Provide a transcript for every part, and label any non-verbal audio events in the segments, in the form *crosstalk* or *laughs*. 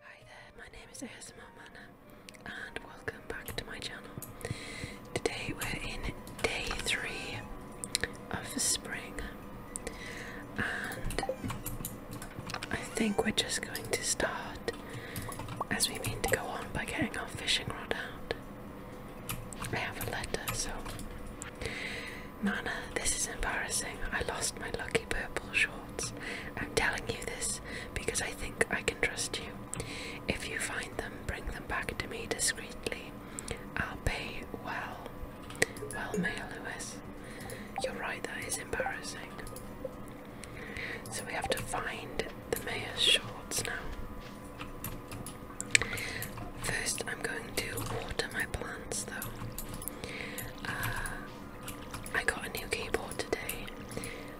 Hi there, my name is ASMR and welcome back to my channel. Today we're in day three of spring and I think we're just going to start as we mean to go on by getting our fishing rod out. I have a letter so Mana, this is embarrassing. I lost my lucky purple shorts. I'm telling you this because I think I can trust you. If you find them, bring them back to me discreetly. I'll pay well. Well, Mayor Lewis. You're right, that is embarrassing. So we have to find the mayor's shorts now. First, I'm going to water my plants though. Uh, I got a new keyboard today,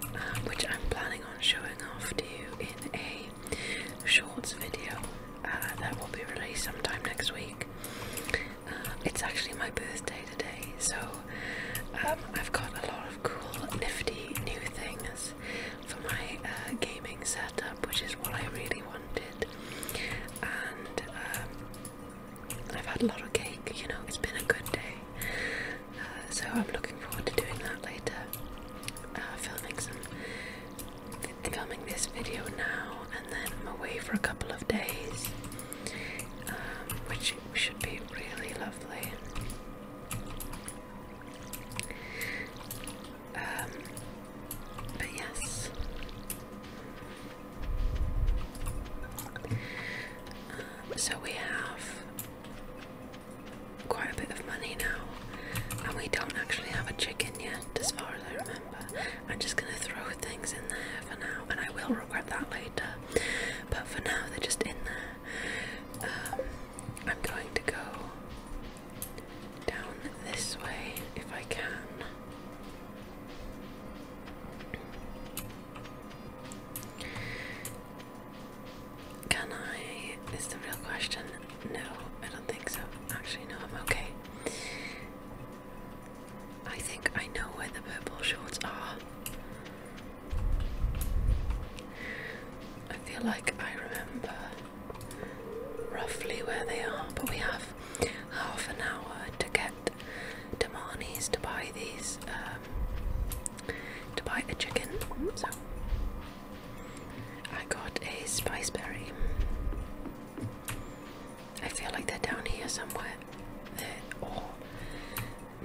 uh, which I'm planning on showing off to you in a shorts video uh, that will be released sometime next week. it's actually my birthday today, so um, I've got a lot of cool, nifty new things for my uh, gaming setup, which is what I really wanted. And um, I've had a lot of cake, you know, it's been a good day. Uh, so I'm looking forward to doing that later. Uh, filming some, filming this video now, and then I'm away for a couple of days, um, which should be really lovely. Um, but yes. Um, so we have quite a bit of money now, and we don't actually have a chicken yet, as far as I remember. I'm just gonna throw things in there for now, and I will regret that later. But for now, they're just in there. Um, I'm going to go down this way if I can. Can I? Is the real question. No, I don't think so. Actually, no, I'm okay. I think I know where the purple shorts are. I feel like I remember roughly where they are, but we have half an hour to get to Marnie's to buy these, um, to buy a chicken. So I got a spice berry. I feel like they're down here somewhere. Or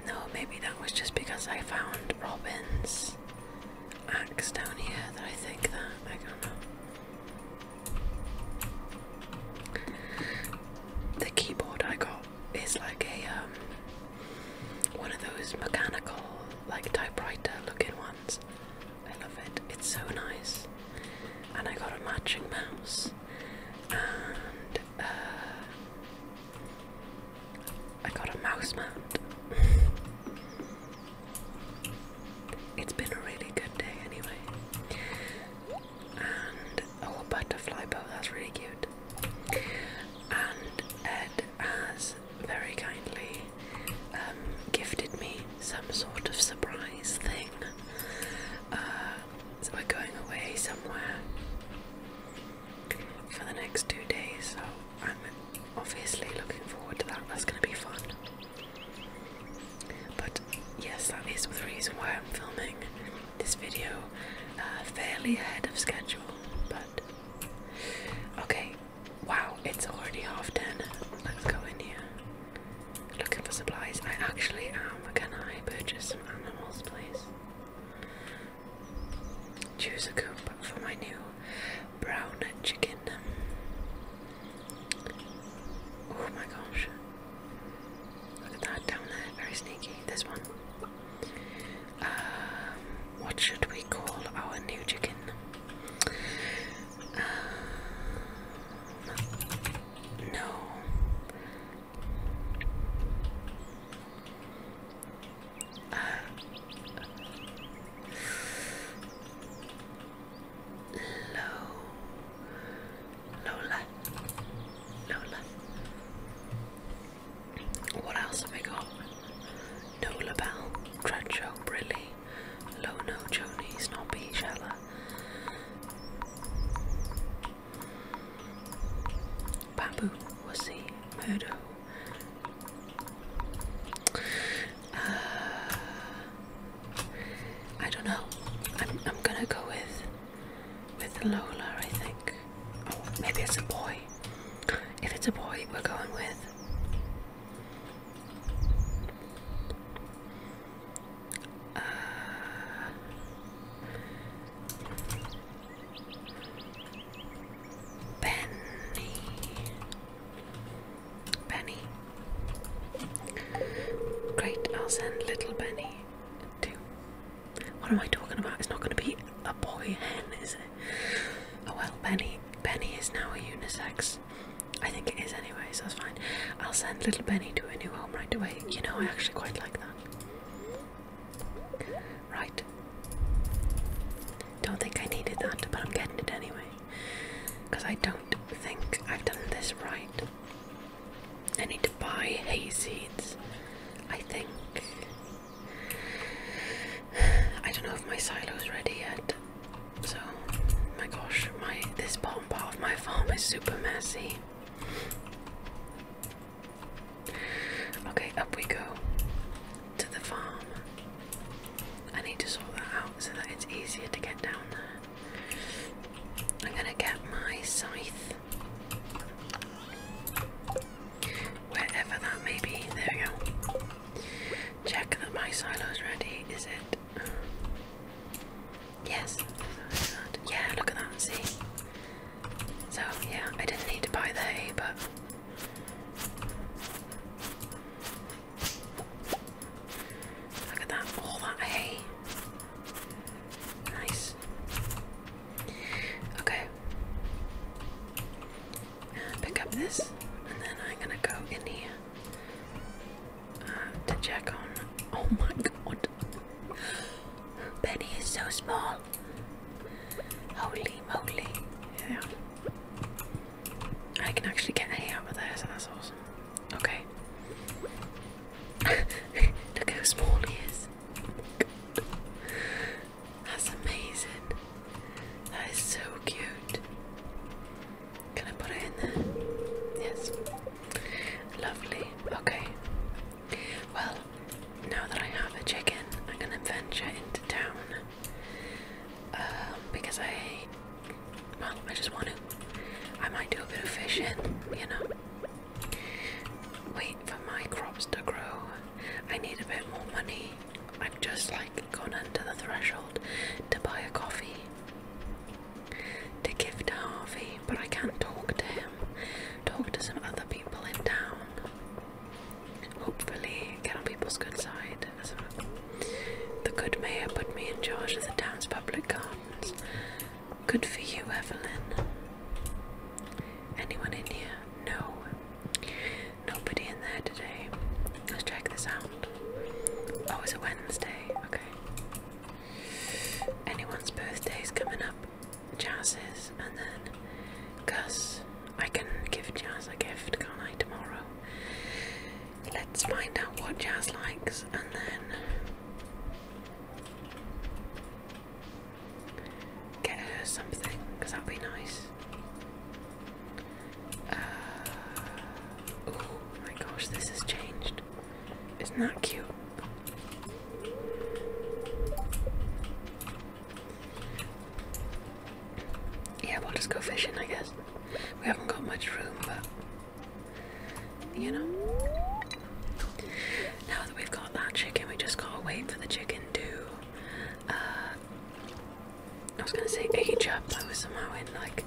no, maybe that was just because I found Robin's axe down here that I think that I don't know. The keyboard I got is like a um one of those mechanical like typewriter looking ones. I love it. It's so nice. And I got a matching mouse and uh, I got a mouse mount. it's been a really good day anyway. oh, butterfly bow, that's really cute. And Ed has very kindly um, gifted me some sort of surprise thing. Uh, we're going away somewhere for the next two days, so I'm obviously looking forward to that, that's going to be fun. But yes, that is the reason why I'm filming this video uh, fairly ahead of schedule. But okay, wow, it's already half ten. Let's go in here. Looking for supplies. I actually am. Can I purchase some animals, please? Choose a coop for my new brown chicken. Oh my gosh. Look at that down there, very sneaky. This one. Um, what should we call our new chicken? Um, no uh, Low Lola Lola What else have we got? Nola Bell, Treacho, Brilly, Lono, Joni, Snobby, Shella Babu, Wussy, Murdo, uh, I don't know. I'm I'm gonna go with with Lola. I think. Oh, maybe it's a boy. If it's a boy, we're going with. Benny. Benny. Great, I'll send little Benny to. What am I talking about? It's not going to be a boy hen, is it? Oh well, Benny. Benny is now a unisex. I think it is anyway, so that's fine. I'll send little Benny to a new home right away. You know, I actually quite like that right? Don't think I needed that, but I'm getting it anyway. Because I don't think I've done this right. I need to buy hay seeds, I think. I don't know if my silo's ready yet. So, my gosh, my this bottom part of my farm is super messy. Okay, up we go to the farm. I need to sort that out so that it's easier to get down there. I'm gonna get my scythe. Wherever that may be. There we go. Check that my silo's ready. Is it? Yes. Yeah, look at that. See? So, yeah, I didn't need to buy the hay, but Look at that, all that hay. Nice. Okay. pick up this, and then I'm gonna go in here uh, to check on. Oh my god. *gasps* Benny is so small. Holy moly. Yeah. I can actually get a hay out of there, that's awesome. Okay. *laughs* Look how small he is. that's amazing. That is so cute. Can I put it in there? Yes. Lovely. Okay. Well, now that I have a chicken, I'm gonna venture into town um, because I, I just want to. I might do a bit of fishing, you know. Wait for my crops to grow. I need a bit more money. I've just like gone under the threshold to buy a coffee to give to Harvey, but I can't talk to him. Talk to some other people in town. Hopefully, get on people's good side The good mayor put me in charge of the town's public gardens. Good for you, Evelyn. Anyone in here? No. Nobody in there today. Let's check this out. Oh, it's a Wednesday. Okay. Anyone's birthday's coming up. Jazz's, and then cause I can give Jazz a gift, can't I, tomorrow? Let's find out what Jazz likes, and then get her something, because that'd be nice. oh my gosh, this has changed. Isn't that cute? Yeah, we'll just go fishing, I guess. We haven't got much room, but you know. Now that we've got that chicken, we just gotta wait for the chicken to. Uh, I was gonna say age up. I was somehow in like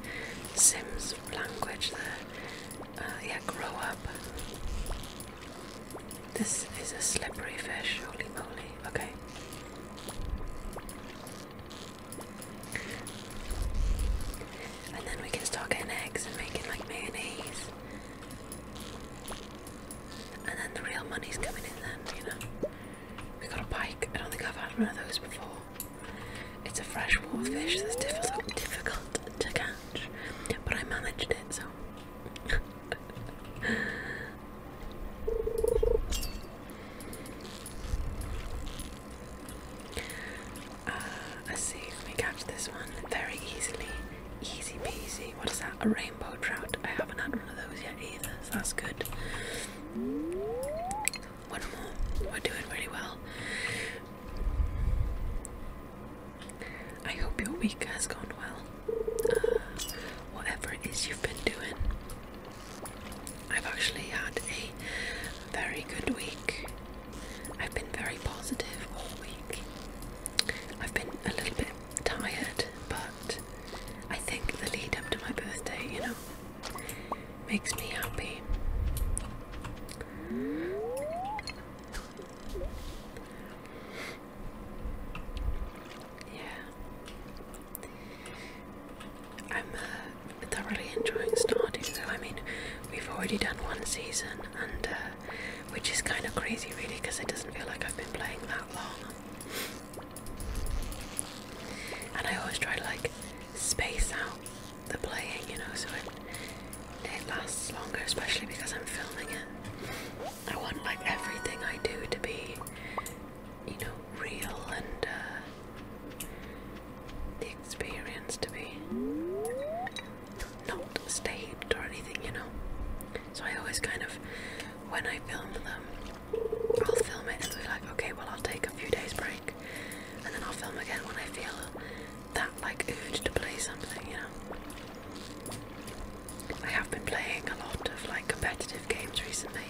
Sims language there. Uh, yeah, grow up. This is a slippery fish, holy moly. Okay. And then we can start getting eggs and making like mayonnaise. And then the real money's coming in then, you know. We got a pike. I don't think I've had one of those before. It's a freshwater fish that's difficult to catch, but I managed it so. *laughs* Uh, let's see if we catch this one very easily. Easy peasy. What is that? A rainbow trout. I haven't had one of those yet either, so that's good. One more. We're doing really well. I hope your week has gone well. Uh, whatever it is you've been doing. I've actually had a very good week. I've been very positive all week. I've been a little bit tired, but I think the lead up to my birthday, you know, makes me happy. Yeah. I'm uh, thoroughly enjoying starting. though. I mean, we've already done one season, and uh, which is kind of crazy really because it doesn't feel like I've been playing that long. And I always try to like space out the playing, you know, so it, it lasts longer, especially because I'm filming it. I want like everything I do to be, you know, real and uh, the experience to be not staged or anything, you know. So I always kind of, when I film them, I'll film it and be like, okay, well, I'll take a few days break, and then I'll film again when I feel that like urge to play something, you know. I have been playing a lot of like competitive games recently,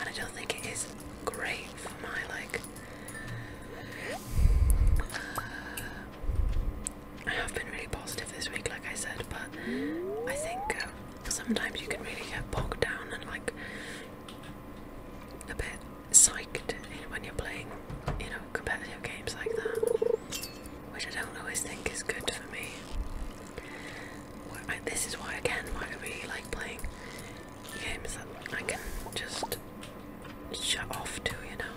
and I don't think it is great for my like. I have been really positive this week, like I said, but I think um, sometimes you can really get bogged down and like a bit psyched you when you're playing, you know, competitive games like that which I don't always think is good for me. this is why, again, why I really like playing games that I can just shut off to, you know.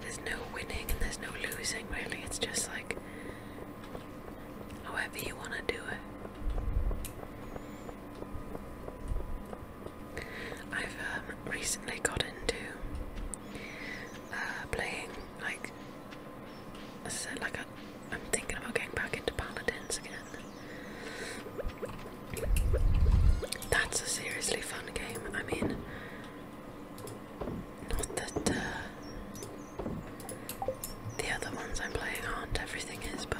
There's no winning and there's no losing, really. It's just like however you want to do it. I've um, recently got into uh, playing like I said, like I, am thinking about getting back into Paladins again. That's a seriously fun game. I mean, not that uh, the other ones I'm playing aren't. Everything is, but.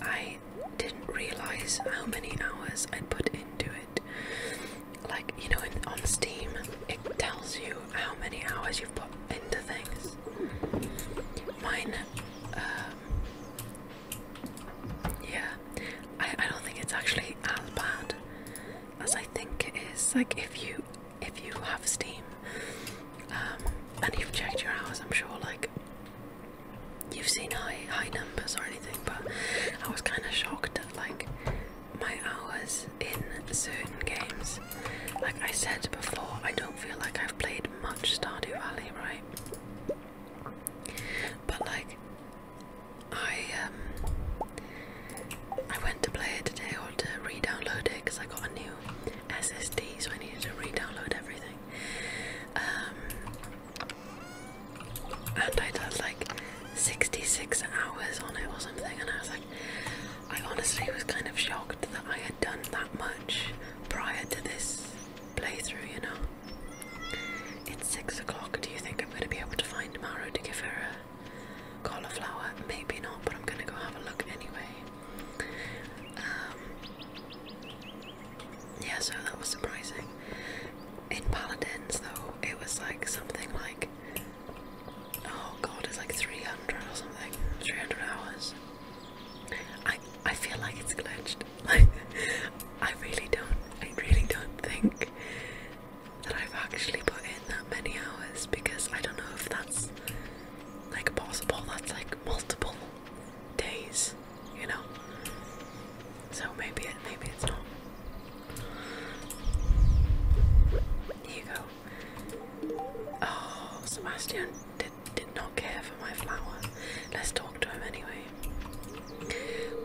I I didn't realize how many hours I put into it. Like, you know, on Steam, it tells you how many hours you've put into things. Mine, um, yeah, I, I don't think it's actually as bad as I think it is. Like, if you if you have Steam um, and you've checked your hours, I'm sure like you've seen high high numbers or anything, but I was kind of shocked at like my hours in certain games. Like I said before, I don't feel like I've played much Stardew Valley, right? But like I um, I went to play it today or to re-download it because I got a new SSD, so I needed to re-download everything. Um, and I'd like 66 hours on it or something, and I was like, I honestly was kind of shocked that I had done that much prior to this playthrough, you know. It's six o'clock. Do you think I'm going to be able to find Maro to give her a cauliflower? Maybe not, but I'm going to go have a look anyway. Um, yeah, so that was surprising. In Paladins, though, it was like something like oh god, it's like 300 or something, 300 hours. I I feel like it's glitched. Like *laughs* I really don't, I really don't think that I've actually put in that many hours because I don't know if that's like possible. That's like multiple days, you know. So maybe it, maybe it's not. There you go. Oh, Sebastian did did not care for my flower. Let's talk to him anyway.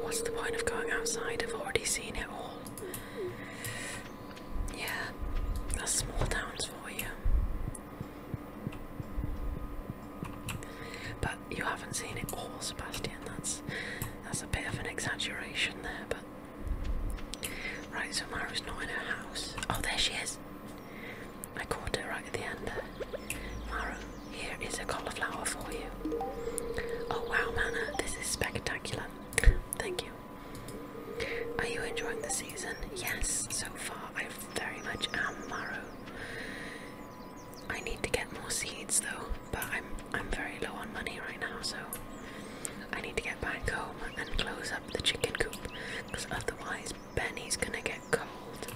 What's the point of going outside? I've already seen it all. Yeah, that's small towns for you. But you haven't seen it all, oh, Sebastian. That's that's a bit of an exaggeration there, but right. So Mara's not in her house. Oh, there she is. I caught her right at the end. Mara, here is a cauliflower for you. Oh wow, Mana, this is spectacular. Thank you. Are you enjoying the season? Yes, so far I've very much am marrow. I need to get more seeds though, but I'm I'm very low on money right now, so I need to get back home and close up the chicken coop, because otherwise Benny's gonna get cold.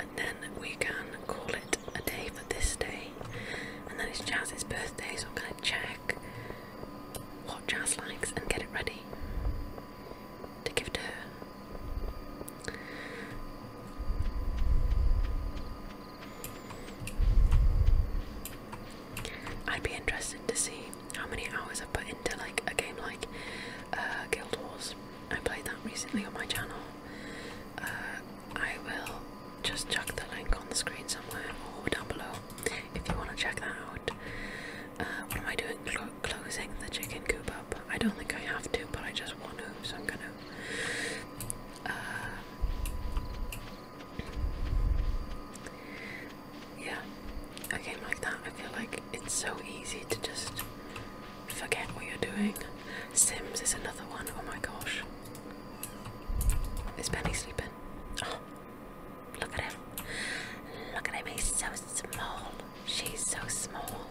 And then we can call it a day for this day. And then it's Jazz's birthday, so I'm gonna check what Jazz likes and get it ready to give to her. I'd be interested to see how many hours i put into like a game like uh, Guild Wars. I played that recently on my channel. Uh, I will just chuck the link on the screen somewhere or down below if you want to check that out what am um, I doing? closing the chicken coop up. I don't think I have to, but I just want to, so I'm gonna. Uh, yeah, a game like that, I feel like it's so easy to just forget what you're doing. Sims is another one. Oh my gosh. Is Penny sleeping? Oh. Look at him. Look at him. He's so small. She's so small.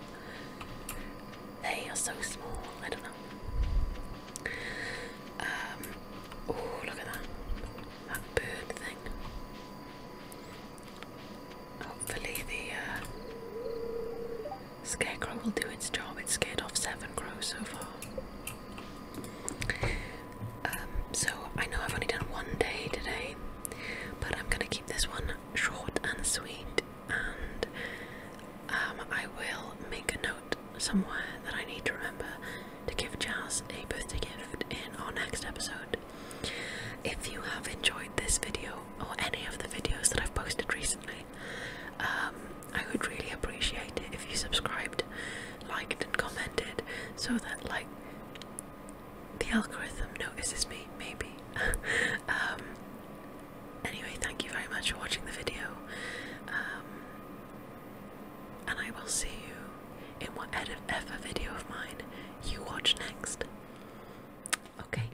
They are so small. I don't know. Um, oh, look at that. That bird thing. Hopefully the uh, scarecrow will do its job. It's scared off seven crows so far. Um, so I know I've only done one day today, but I'm gonna keep this one short and sweet, and um, I will make a note somewhere that I need to remember to give Jazz a birthday gift in our next episode. If you have enjoyed this video or any of the videos that I've posted recently, um, I would really appreciate it if you subscribed liked and commented so that like the algorithm notices me maybe *laughs* um anyway thank you very much for watching the video um and i will see you in whatever video of mine you watch next okay